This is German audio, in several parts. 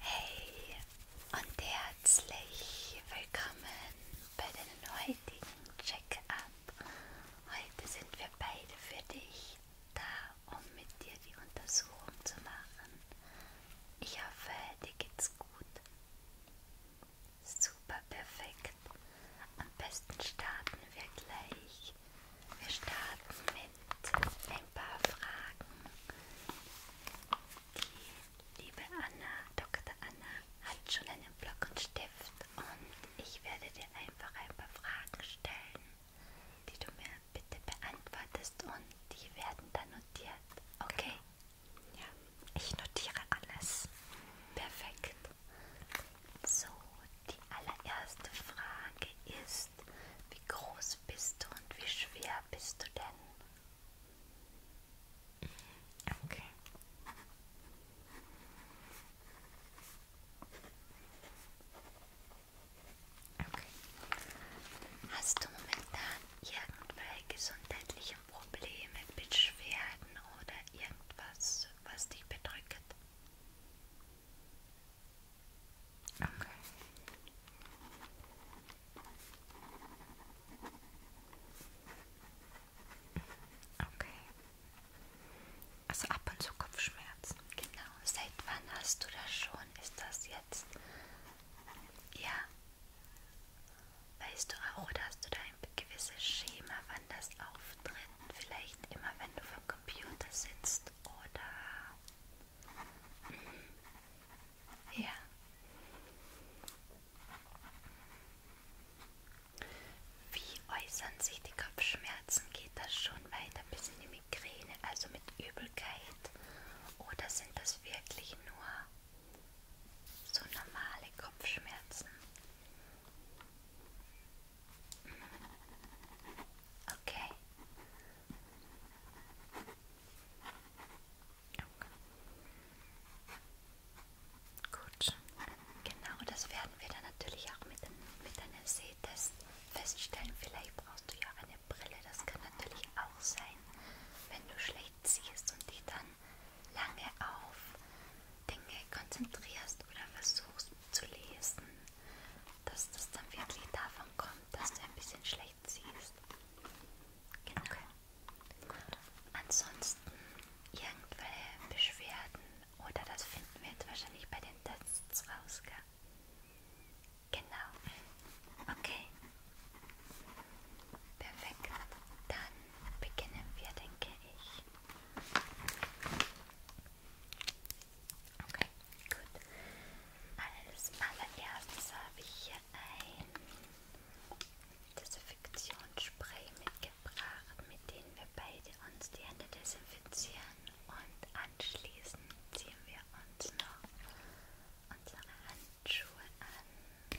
Hey und herzlich willkommen bei deinem heutigen Check-up. Heute sind wir beide für dich da, um mit dir die Untersuchung zu machen. Ich hoffe, dir geht's gut. Super perfekt. Am besten starten wir gleich. Wir starten mit ein paar Fragen, die liebe Anna, Dr. Anna, hat schon einen Block und Stift und ich werde dir einfach ein paar Fragen stellen, die du mir bitte beantwortest und die werden dann notiert. Okay? Genau. Ja. Ich notiere alles. Perfekt. So, die allererste Frage ist, wie groß bist du und wie schwer bist du denn? Okay. Okay. Hast du momentan irgendwelche gesundheitlichen Probleme, Beschwerden oder irgendwas, was dich bedrückt? Okay. Okay. Also ab und zu Kopfschmerzen. Genau. Seit wann hast du das schon? Ist das jetzt? Ja. Weißt du auch, oder hast du da ein gewisses Schema, wann das auftritt? vielleicht immer, wenn du vom Computer sitzt oder ja. Wie äußern sich die Kopfschmerzen? Geht das schon weiter bis in die Migräne, also mit Übelkeit? Oder sind das wirklich nur so normale Kopfschmerzen? Okay. Gut. Genau, das werden wir dann natürlich auch mit, den, mit einem Sehtest feststellen. Vielleicht brauchst du ja eine Brille. Das kann natürlich auch sein, wenn du schlecht siehst und die dann lange auf Dinge konzentrierst oder versuchst zu lesen, dass das dann wirklich davon kommt, dass du ein bisschen schlecht siehst. Genau. Okay. Gut. Ansonsten irgendwelche Beschwerden oder das finden wir jetzt wahrscheinlich bei den Tests raus, gell? Genau. Okay. Perfekt. Dann beginnen wir, denke ich. Okay, gut. Als allererstes habe ich hier ein Desinfektionsspray mitgebracht, mit dem wir beide uns die Hände desinfizieren und anschließend ziehen wir uns noch unsere Handschuhe an.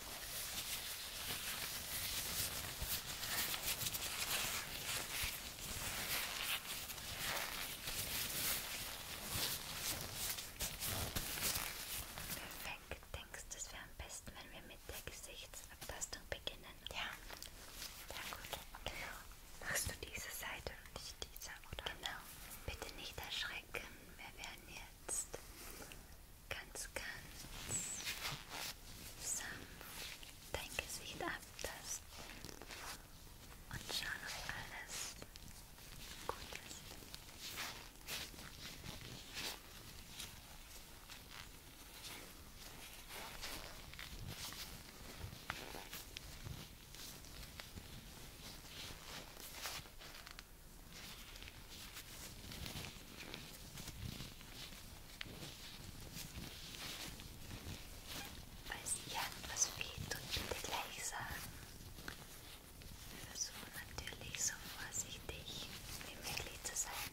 Perfekt. Denkst du, es wäre am besten, wenn wir mit der Gesichtsabtastung beginnen? Ja. Ja gut, genau. Machst du diese Seite und nicht diese, oder? Genau. Bitte nicht erschrecken. Wir werden hier jetzt ganz, ganz sanft dein Gesicht abtasten und schauen, ob alles gut ist. Gut. Falls dir etwas fehlt, tut bitte gleich sagen. Wir versuchen natürlich so vorsichtig wie möglich zu sein.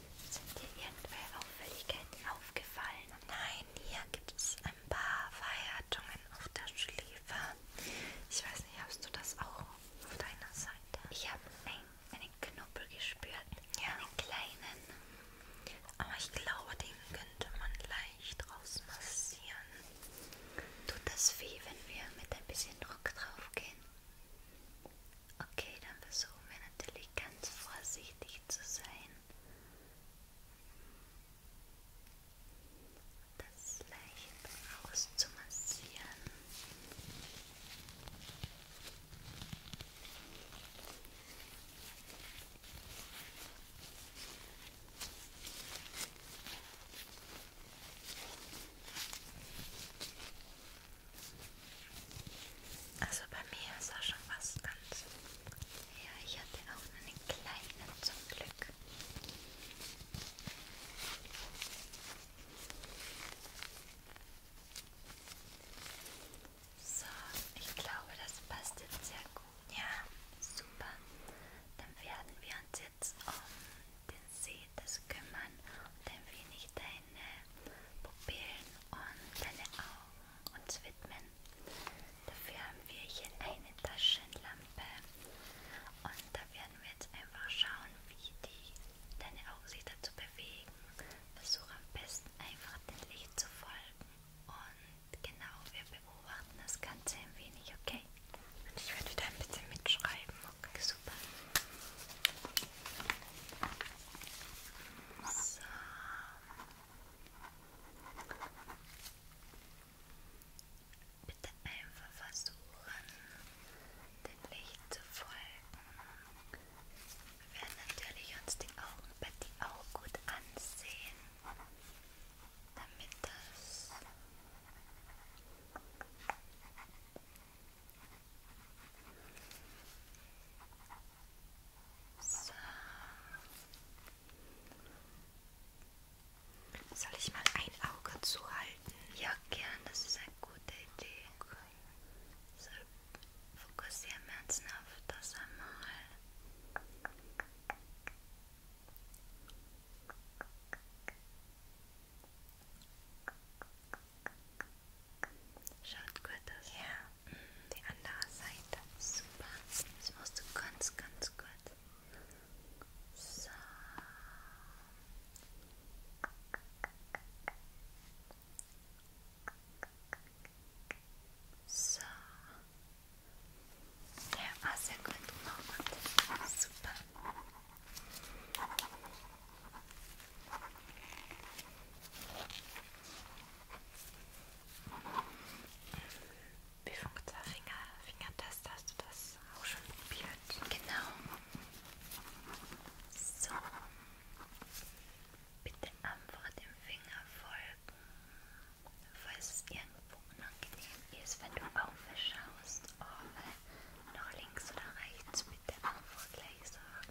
Sind dir irgendwelche Auffälligkeiten aufgefallen? Nein, hier gibt es ein paar Verhärtungen auf der Schläfe. Ich weiß nicht, hast du das auch auf deiner Seite? Ich habe ein, einen Knubbel gespürt, ja. einen kleinen. Aber ich glaube, den könnte man leicht rausmassieren. Tut das weh, wenn wir mit ein bisschen Druck drauf gehen? Okay, dann versuchen wir natürlich ganz vorsichtig zu sein das leicht auszumassieren. Und also bei mir ist das schon was ganz. Ja, ich hatte auch nur eine kleine zum Glück. So, ich glaube, das passt jetzt sehr gut. Ja, super. Dann werden wir uns jetzt um den See des Kümmern und ein wenig der deine Pupillen und deine Augen uns widmen. Dafür haben wir hier eine Taschenlampe und da werden wir jetzt einfach schauen, wie die deine Augen sich dazu bewegen. Versuch am besten einfach dem Licht zu folgen und genau, wir beobachten das Ganze ein wenig, okay? Und ich werde wieder ein bisschen mitschreiben, okay? Super. So. Bitte einfach versuchen, dem Licht zu folgen. Wir werden natürlich uns die Augenpartie auch gut ansehen, damit das so. Soll ich mal ein Auge zuhalten? Ja, gern, das ist eine gute Idee. Okay. So, fokussieren wir uns noch auf das einmal. Schaut gut aus. Ja. Die andere Seite. Super. Das machst du ganz, ganz gut. So. So. Ja, war sehr gut. Noch gut. Super. Wie funktioniert der Finger, Fingertest? Hast du das auch schon probiert? Genau. So. Bitte einfach dem Finger folgen, falls es irgendwo unangenehm ist, wenn du aufschaust. Oben nach links oder rechts, bitte einfach gleich sagen.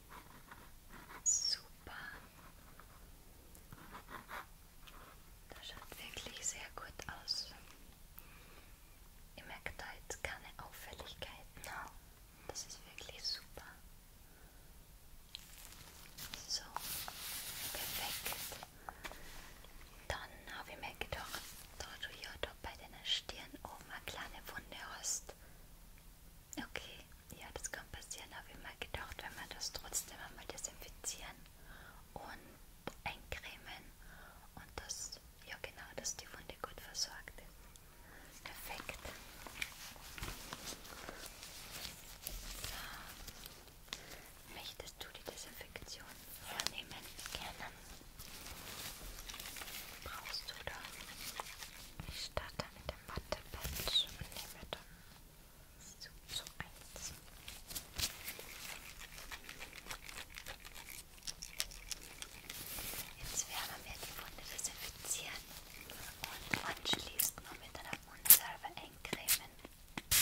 Super. Das schaut wirklich sehr gut aus. Ihr merkt da jetzt keine Auffälligkeiten. Das ist wirklich super. So, perfekt. Dann habe ich mir gedacht, da du ja da bei deiner Stirn oben eine kleine Wunde hast. Okay, ja, das kann passieren, habe ich mal gedacht, wenn wir das trotzdem einmal desinfizieren und eincremen und das, ja genau, dass die Wunde gut versorgt ist. Perfekt. So. Möchtest du die Desinfektion vornehmen? Gerne. Brauchst du da? Ich starte mit dem Wattepatch und nehme da so, so eins. Jetzt werden wir die Wunde desinfizieren und anschließend noch mit einer Mundsalbe eincremen. So.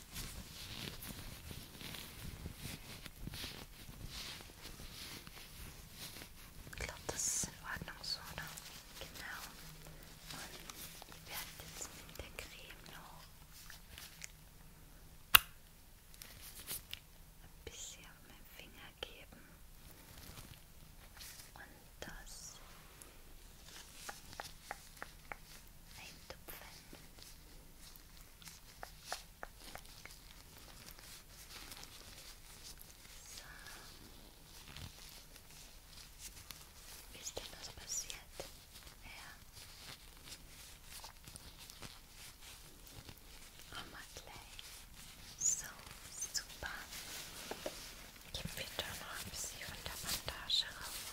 Ich glaube, das ist in Ordnung so, oder? Genau. Und ich werde jetzt mit der Creme noch ein bisschen auf meinen Finger geben. Und das eintupfen. So. Wie ist denn das passiert? Ja. Oh, Madeleine. So, super. Gib wieder noch ein bisschen von der Bandage rauf.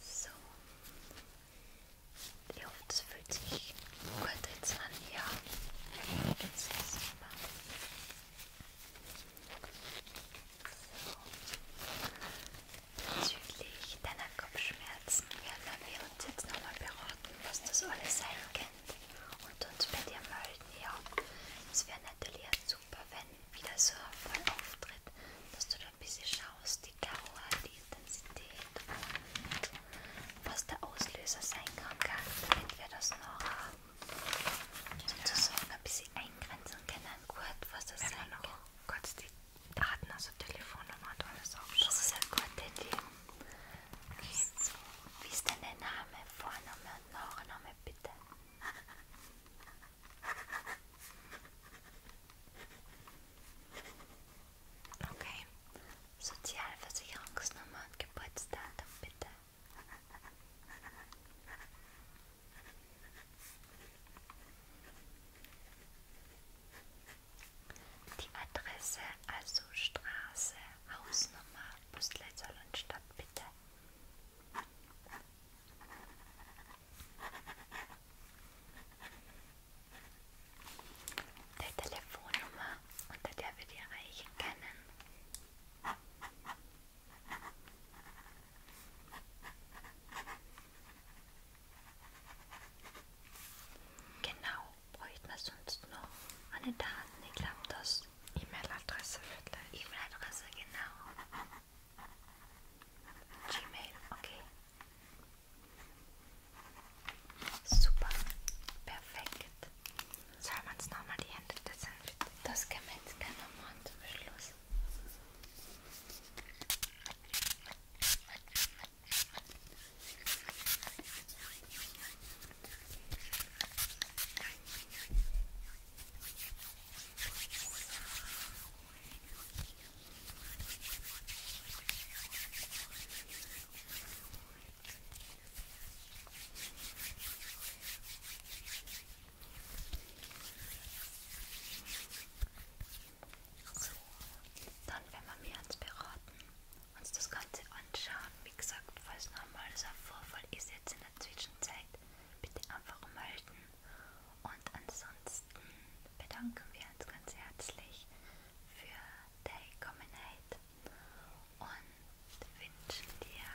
So. Ich hoffe, es fühlt sich gut jetzt an. Ja, jetzt ist super. So. Bezüglich deiner Kopfschmerzen werden wir uns jetzt nochmal beraten, was das alles sein könnte und uns bei dir melden. Ja, es wäre natürlich super, wenn wieder so ein Fall auftritt, dass du da ein bisschen schauen raus, die Dauer, die Intensität und was der Auslöser sein kann, damit wir das noch haben. Ähm, genau. Sozusagen ein bisschen eingrenzen können, gut, was das Wenn sein kann. noch kurz die Daten, also Telefonnummer und alles aufschreiben. Das ist ein guter Idee. Okay. So, wie ist denn der Name, Vorname und Nachname bitte? Okay. Sozialversicherungsnummer und Geburtsdatum bitte. Die Adresse, also Straße, Hausnummer, Postleitzahl und Stadt bitte. Der Telefonnummer, unter der wir die erreichen können. Genau, bräuchten wir sonst noch eine Daten. Ich glaube, das E-Mail-Adresse wird E-Mail-Adresse, genau. Gmail, okay. Super, perfekt. Soll man es nochmal die Hände desinfizieren? Das kann man jetzt gerne machen zum Schluss. So. So, dann werden wir mir ans Beraten uns das Ganze anschauen. Wie gesagt, falls noch mal so ein Vorfall ist jetzt in der Zwischenzeit, bitte einfach melden. Und und ansonsten bedanken wir uns ganz herzlich für deine Kommenheit und wünschen dir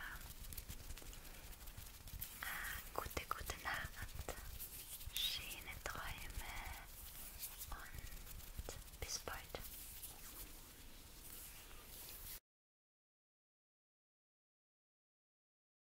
eine äh, gute, gute Nacht, schöne Träume und bis bald.